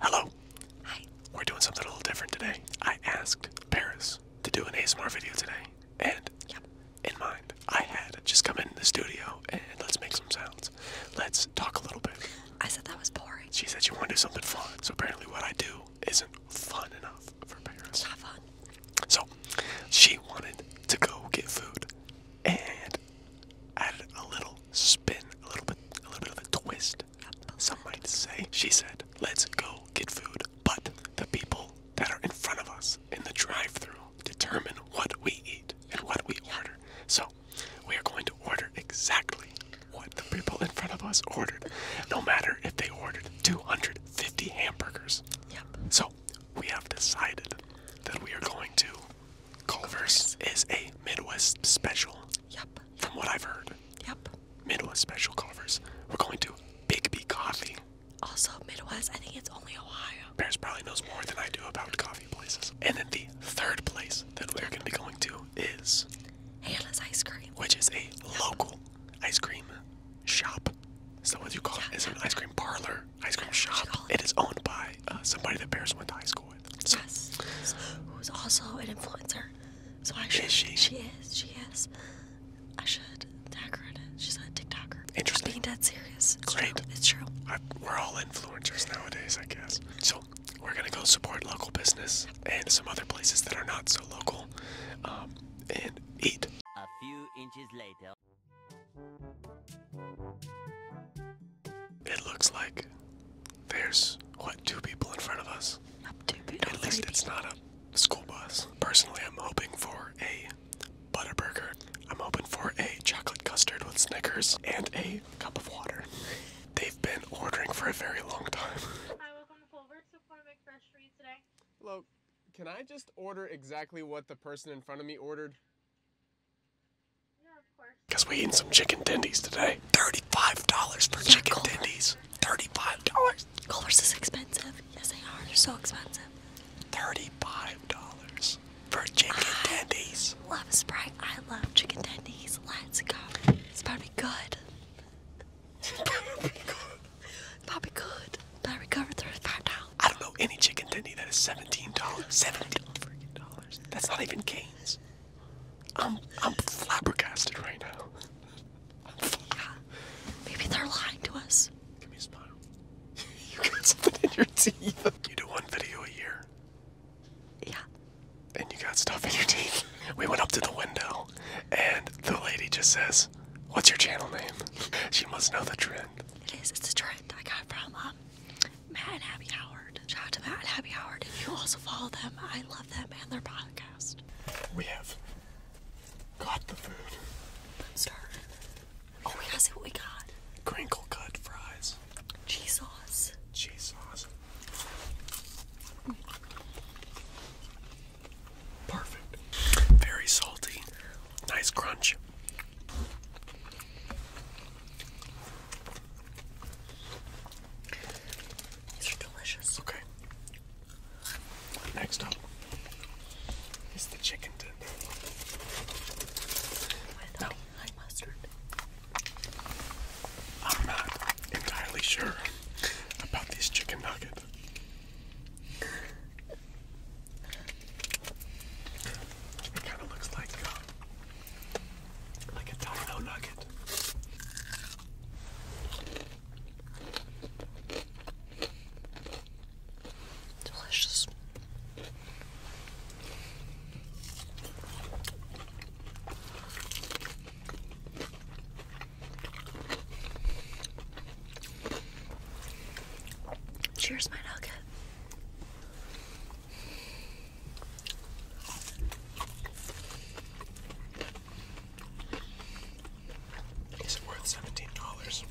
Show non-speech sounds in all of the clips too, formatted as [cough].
Hello. Hi. We're doing something a little different today. I asked Paris to do an ASMR video today, and in mind, I had just come in the studio and let's make some sounds. Let's talk a little bit. I said that was boring. She said she wanted to do something fun, so apparently what I do isn't fun enough for Paris. It's not fun. So, she wanted to go get food, and add a little spin, a little bit, a little bit of a twist. Some might say, she said, let's go get food. But the people that are in front of us in the drive through determine what we eat and what we order. So we are going to order exactly what the people in front of us ordered, no matter if they ordered 250 hamburgers. So we have decided that we are going to Culver's, is a Midwest special. Yep. From what I've heard. Yep. Midwest special Culver's. We're going to Big B Coffee. Also, Midwest, I think it's only Ohio. Paris probably knows more than I do about coffee places. And then the third place that we're going to be going to is Hannah's Ice Cream, which is a local ice cream shop. Is that what you call yeah, it? It's an ice cream parlor, ice cream shop. It is owned by uh, somebody that Paris went to high school. Yes. who's also an influencer. So I should. Is she? She is. She is. I should tag her in it. She's a TikToker. Interesting. being dead serious. It's Great. True. It's true. we're all influencers nowadays, I guess. So we're gonna go support local business and some other places that are not so local, um, and eat. A few inches later. It looks like there's, what, two people in front of us? At least it's not a school bus. Personally, I'm hoping for a butter burger. I'm hoping for a chocolate custard with Snickers and a cup of water. They've been ordering for a very long time. Hi, welcome to Culver's. So far, today. Hello. Can I just order exactly what the person in front of me ordered? Because we eating some chicken tendies today. $35 for chicken Culver. tendies. $35. Culver's is expensive. Yes, they are. They're so expensive. $35 for chicken I tendies. Love Sprite. I love chicken tendies. Let's go. It's about to be good. [laughs] Probably good. Probably good. But I recovered $35. I don't know any chicken tendy that is seventeen dollars. Seventeen freaking dollars. That's not even Canes. I'm flabbergasted right now. I'm Maybe they're lying to us. Give me a smile. [laughs] you got something in your teeth. You do one video a year. Yeah. And you got stuff in your teeth. We went up to the window, and the lady just says, "What's your channel name?" [laughs] She must know the trend. It is. It's a trend I got from um, Matt and Abby Howard. Shout out to Matt and Abby Howard. If you also follow them, I love them and their podcast. We have got the food. Start. Oh, we gotta see what we got. Crinkle cut fries. Cheese sauce. Cheese sauce. Perfect. Very salty. Nice crunch. These are delicious. Okay. Next up is the chicken tender. With mustard. I'm not entirely sure about these chicken nuggets. It kind of looks like uh, like a domino nugget. Delicious. Cheers, my nugget. Is it worth seventeen dollars?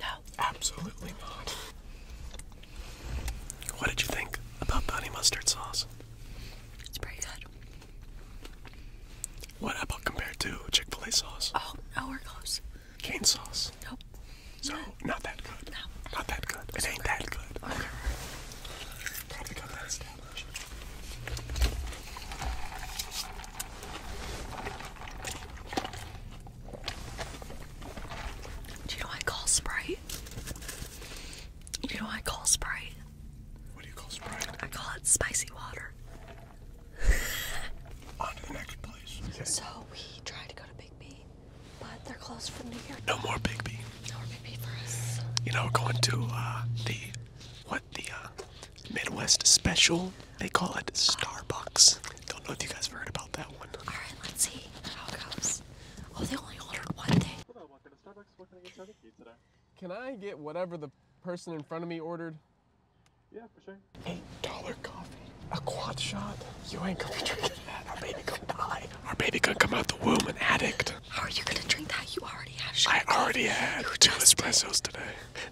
No. Absolutely not. What did you think about Bonnie mustard sauce? It's pretty good. What about compared to Chick Fil A sauce? Oh, nowhere close. Cane sauce. Nope. So not that good. No. Not that good. It ain't that good. Okay. Do you know I call Sprite? Do you know I call Sprite? What do you call Sprite? I call it spicy water. So we tried to go to Big B, but they're closed for New Year. No more Big B. No more Big B for us. You know, going to uh, the what the uh, Midwest special? They call it Starbucks. Don't know if you guys have heard about that one. All right, let's see how it goes. Oh, they only ordered one thing. Can I get whatever the person in front of me ordered? Yeah, for sure. $8 coffee, a quad shot. You ain't gonna be drinking that. Our baby gonna die. Our baby gonna come out the womb an addict. How are you gonna drink that? You already have sugar. I coffee. already had two espressos did. today.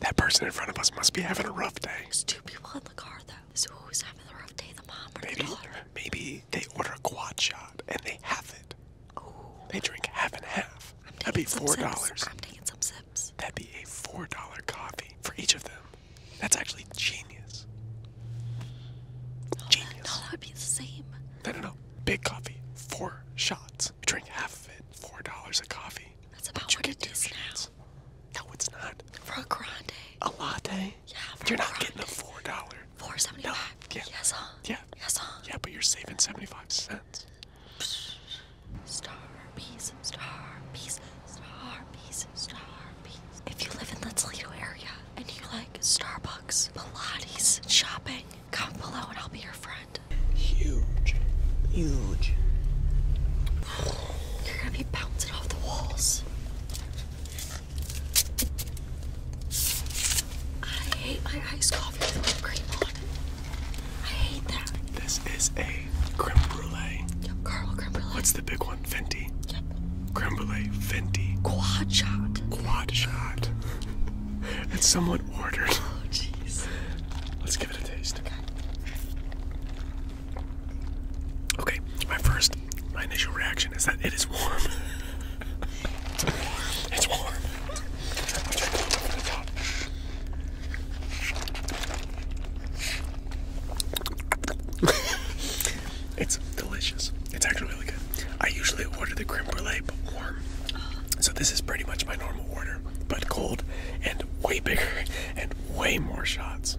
That person in front of us must be having a rough day. There's two people in the car though. So who's having the rough day? The mom or the daughter? Maybe they order a quad shot and they have it. They drink half and half. That'd be four dollars. I'm taking some sips. That'd be a four dollar coffee for each of them. That's actually genius. genius. That, no, that'd be the same. No, no, no. Big coffee, four shots. You drink half of it, four dollars a coffee. That's about what it is shots. now. No, it's not. For a grande. A latte. Yeah. You're not getting a four dollar. Four seventy five. Yeah. Yes, huh? Yeah. Yeah, but you're saving 75 cents. Star peace, star peace, If you live in the Toledo area and you like Starbucks, Pilates, shopping, comment below and I'll be your friend. Huge. Huge. You're gonna be bouncing off the walls. I hate my iced coffee with whipped cream on it. I hate that. This is a creme brulee. Yep, What's the big one? Venti. Yep. Creme brulee, Fenty. Quad shot. Quad shot. [laughs] it's somewhat ordered. Oh, jeez. Let's give it a taste. Okay, my first, my initial reaction is that it is warm. [laughs] it's warm. it's delicious. It's actually really good. I usually order the creme brulee, but warm. So this is pretty much my normal order, but cold and way bigger and way more shots.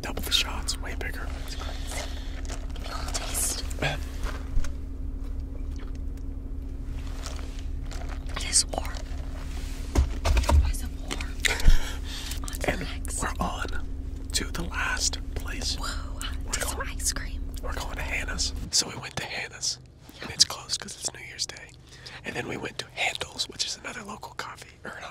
Double the shots, way bigger. It is warm. we're on to the last place. we're going, some ice cream. We're going to Hannah's. So we went to Hannah's. And it's closed because it's New Year's Day. And then we went to Handel's, which is another local coffee, or uh,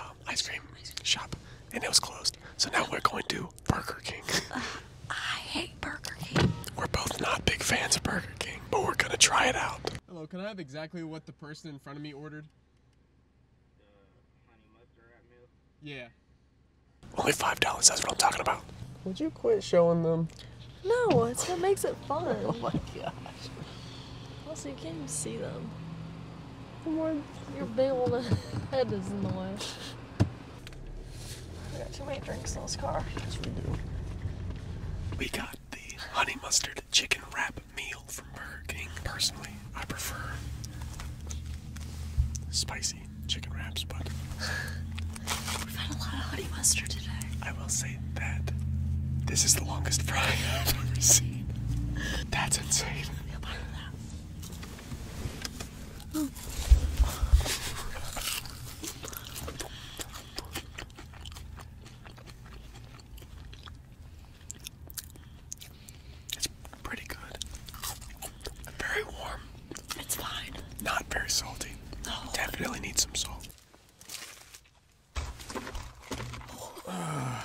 um, ice cream shop and it was closed. So now we're going to Burger King. [laughs] Uh, I hate Burger King. We're both not big fans of Burger King, but we're gonna try it out. Hello, can I have exactly what the person in front of me ordered? Yeah. Uh, Only five dollars. That's what I'm talking about. Would you quit showing them? No, it's what makes it fun. [laughs] oh my gosh. Also, you can't even see them. Lord, your big old [laughs] head is in the way. We got too many drinks in this car. Yes, we do. We got the honey mustard chicken wrap meal from Burger King. Personally, I prefer spicy chicken wraps, but we've had a lot of honey mustard today. I will say that this is the longest fry I've ever seen. That's insane. It's pretty good. Very warm. It's fine. Not very salty. No. Definitely need some salt. Oh. Uh,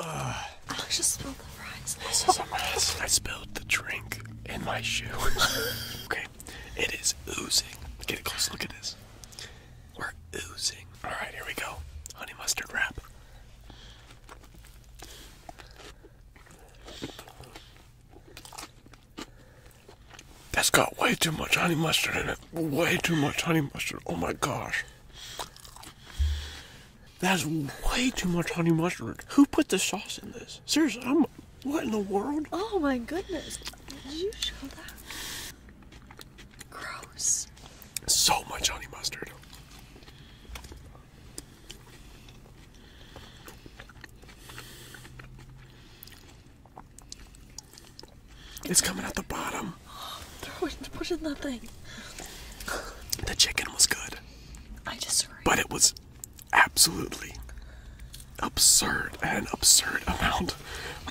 I just spilled the fries. I spilled the drink in my shoe. [laughs] okay, it is oozing. Get a close look at this. We're oozing. All right, here we go. Honey mustard wrap. That's got way too much honey mustard in it. Way too much honey mustard. Oh my gosh. That's way too much honey mustard. Who put the sauce in this? Seriously, I'm. What in the world? Oh my goodness. Did you show that? Gross. So much honey mustard. It's coming out the bottom. They're push in that thing. The chicken was good. I just. But it was absolutely absurd, an absurd amount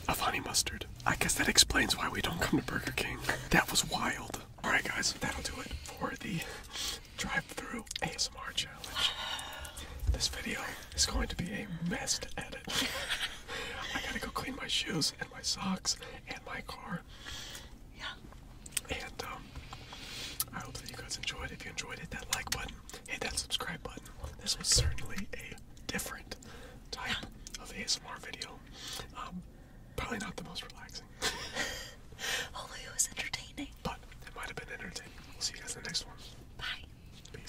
of honey mustard. I guess that explains why we don't come to Burger King. That was wild. All right, guys, that'll do it for the drive-through ASMR challenge. This video is going to be a mess to edit. [laughs] I gotta go clean my shoes and my socks and my car. Yeah. And um, I hope that you guys enjoyed. If you enjoyed, hit that like button, hit that subscribe button. This was certainly a different type of ASMR video. Um, probably not the most relaxing. [laughs] Only it was entertaining. But it might have been entertaining. We'll see you guys in the next one. Bye. Peace.